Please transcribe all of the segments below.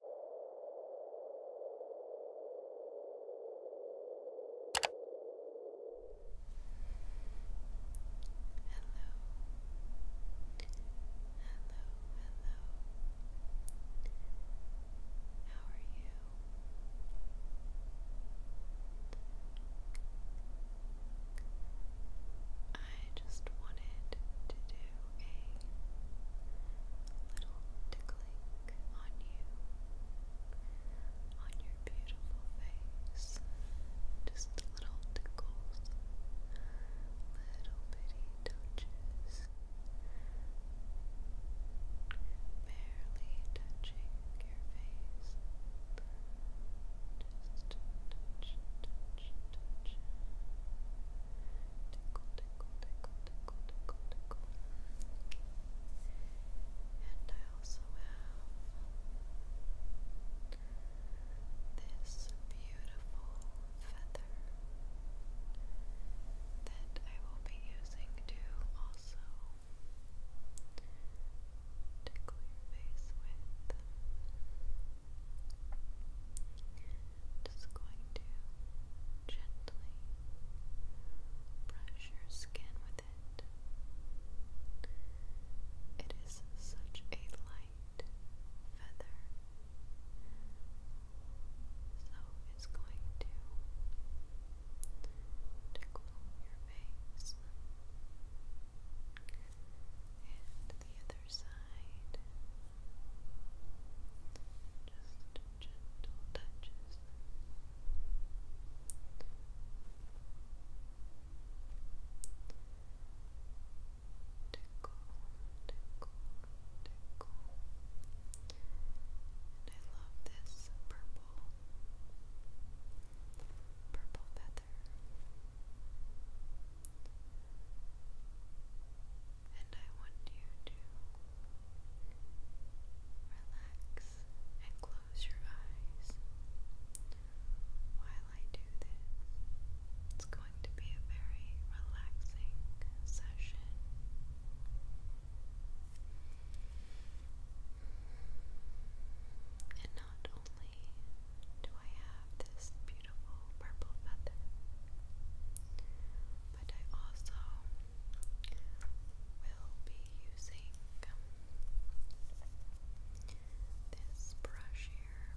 How are you? I just wanted to do little tickling on you, on your beautiful face. Just little tickles, little bitty touches, barely touching your face. Just touch, touch, touch, touch tickle, tickle, And I also have this beautiful feather that I will be using to also tickle your face with. Just going to gently brush your skin with it. It is such a light feather, so it's going to tickle your face the other side. Just gentle touches. Tickle, tickle, tickle. I love this purple, purple feather and I want you to relax and close your eyes while I do this. It's going to be a very relaxing session. And not only do I have this beautiful purple feather. But I also will be using this brush here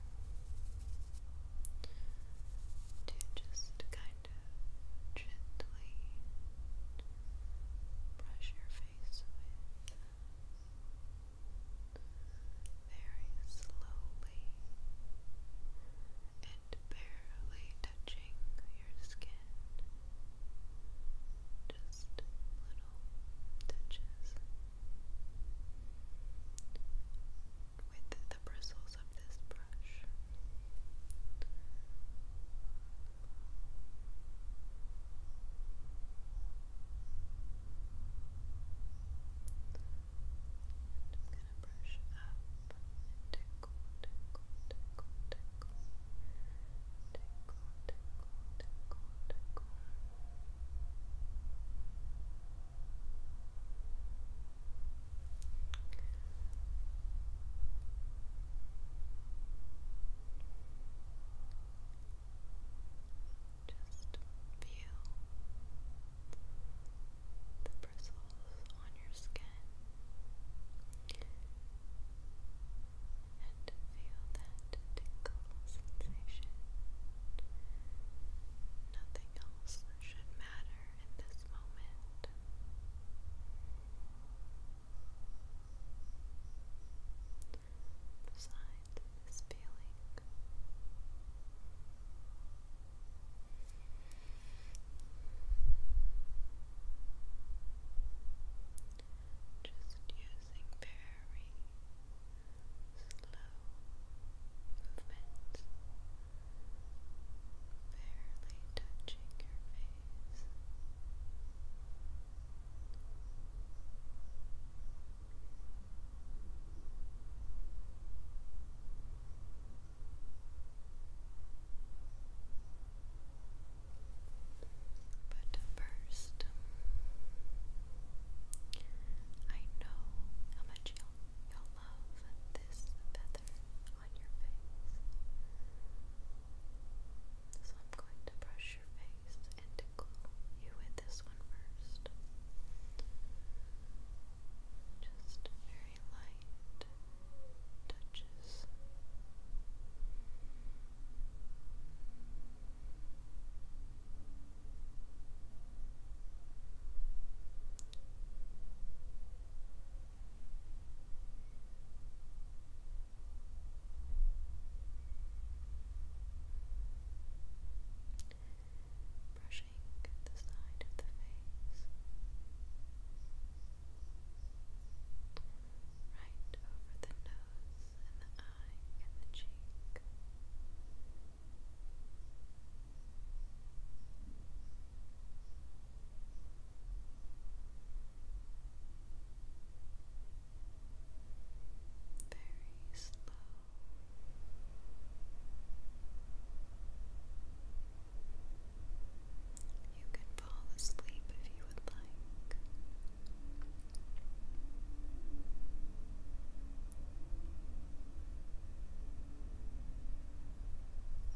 to just kind of gently brush your face with very slowly and barely touching your skin. Just little touches. With the bristles of this brush gonna brush up and tickle, tickle, tickle, tickle, tickle, tickle, tickle, tickle. Just feel the bristles on your skin and feel that tingle sensation. Nothing else should matter in this moment. Besides this feeling, just using very slow movements, barely touching your face. But first, um, I know how much you'll, love this feather on your face. So I'm going to brush your face and tickle you with this one first. Just very light touches. Brushing brushing the side of the face, right over the nose and the eye and the cheek. Very slow you can fall asleep if you would like.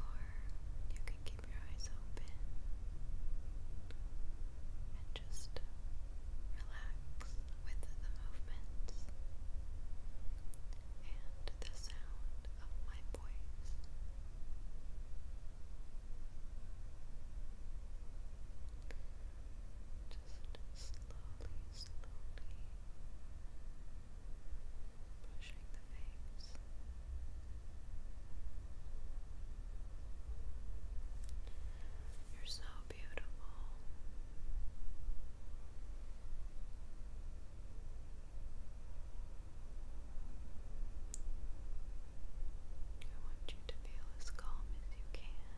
Or you can keep your eyes open and just relax with the movements and the sound of my voice. Just slowly, slowly pushing the veins. You're so beautiful. I want you to feel as calm as you can.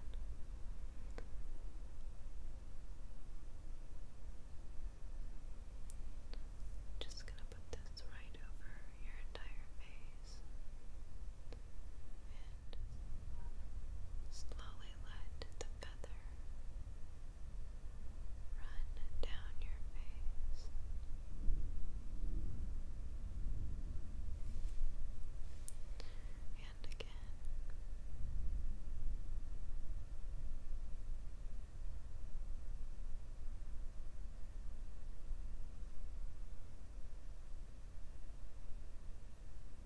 just going to put this right over your entire face and slowly let the feather run down your face. And again. Now move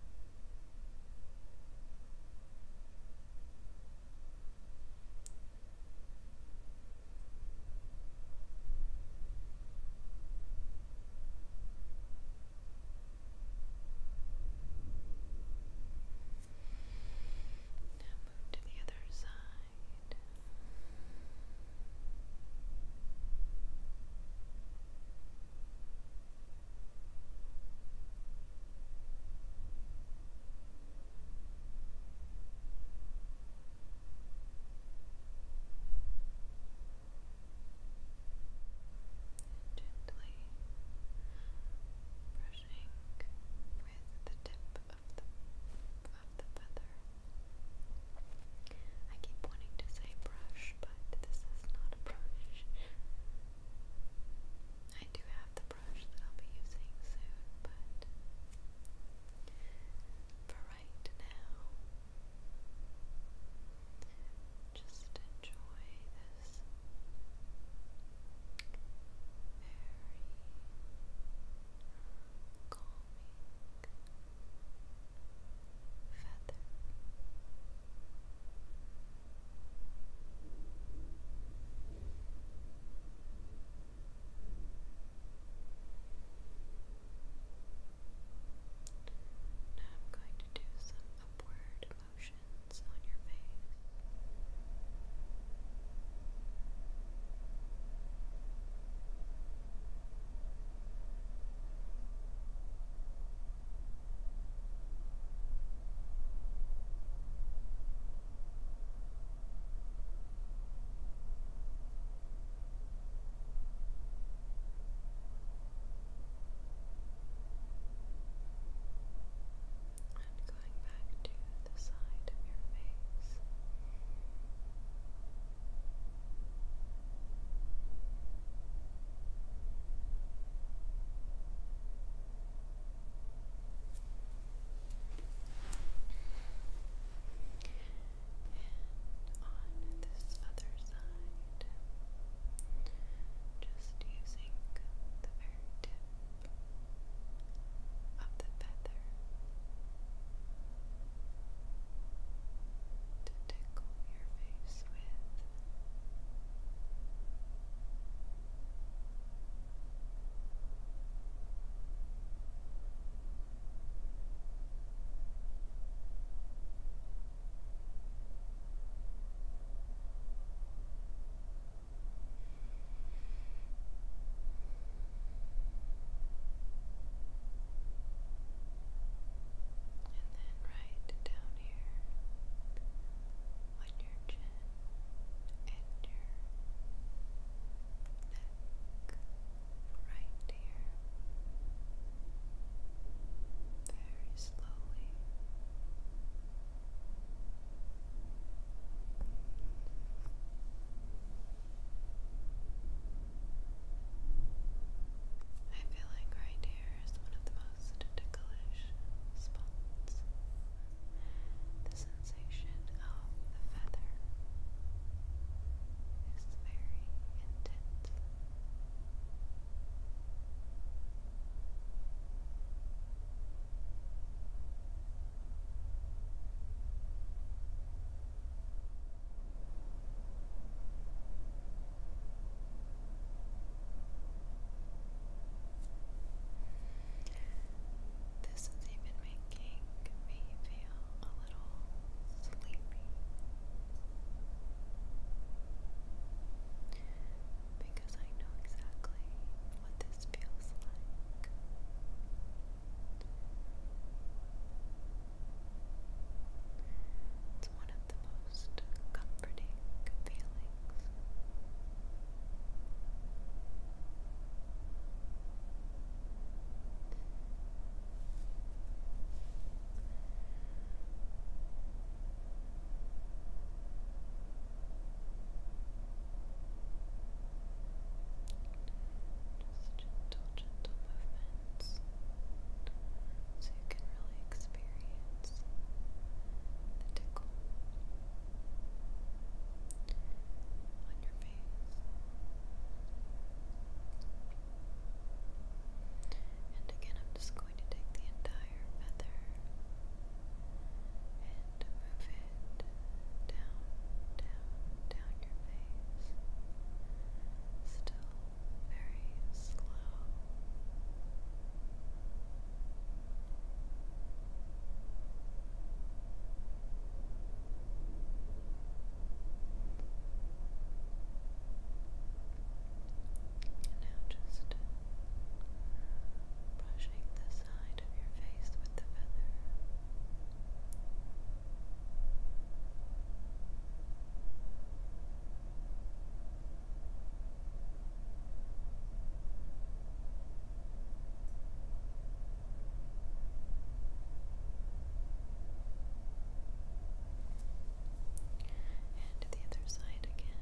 to the other side. Gently brushing with the tip of the feather. I keep wanting to say brush, but this is not a brush. I do have the brush that I'll be using soon, but for right now, just enjoy this very calming feather. Now I'm going to do some upward motions on your face. And going back to the side of your face. And on this other side, just using the very tip of the feather to tickle your face with and then right down here on your chin and your neck, right here, very slowly. I feel like right here is one of the most ticklish spots. The sensation of the feather is very intense. This is even making me feel a little sleepy because I know exactly what this feels like have the most comforting feelings. gentle, gentle movements so you can really experience the tickle on your face. And again, I'm just going to take the entire feather and move it down, down, down your face. Still slow. And now brushing the side of your face with the feather. And to the other side again.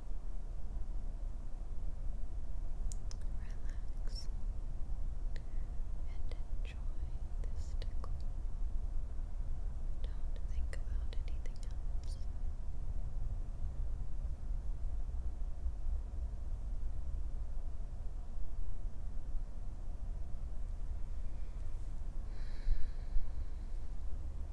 Relax and enjoy this Don't think about anything else.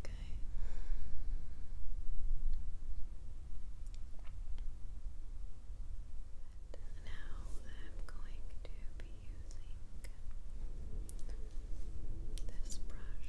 Okay. And now I'm going to be using this brush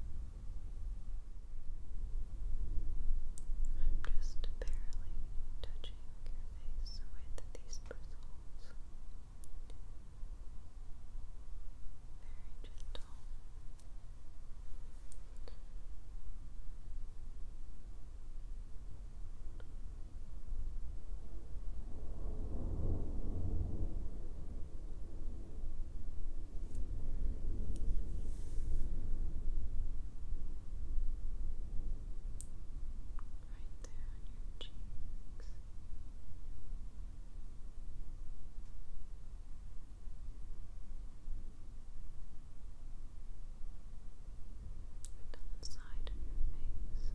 I'm just barely touching your face with these bristles. Very gentle. Right there on your cheeks. And on the side of your face.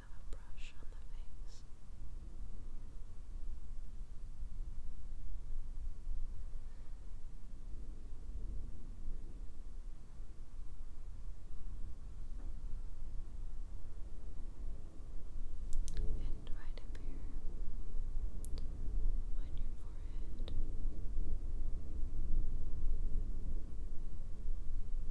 of a And right up here on your forehead.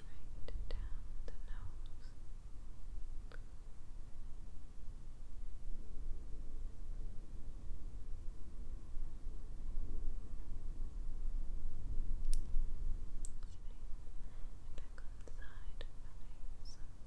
Right down the nose. Back on the side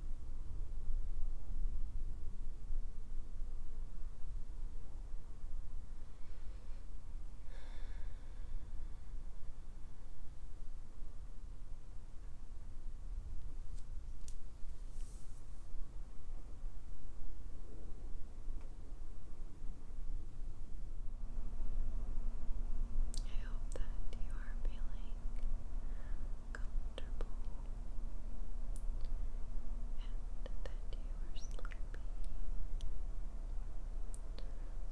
I hope that you are feeling comfortable and that you are sleepy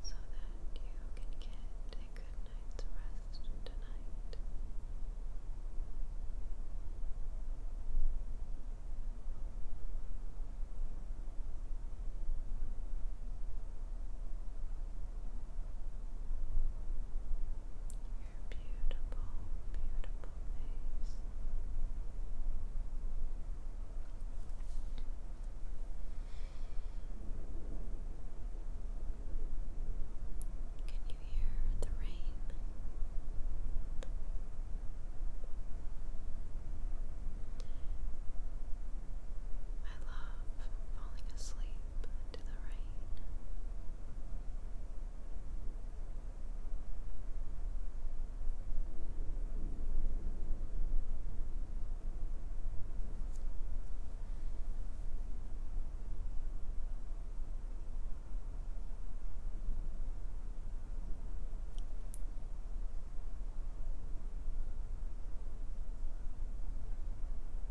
so that you can get a good night's rest tonight. Your beautiful, beautiful face. Can you hear the rain? I love falling asleep to the rain.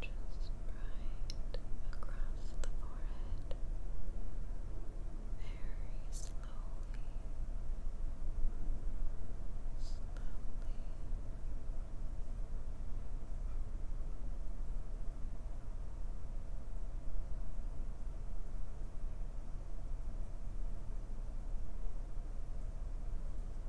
just right across the forehead, very slowly, slowly.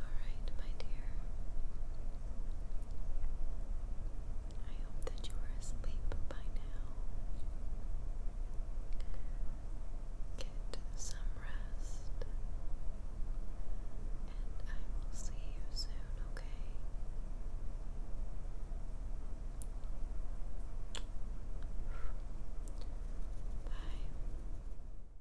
Alright, my dear. I hope that you are asleep by now. Get some rest. And I will see you soon, okay? Bye.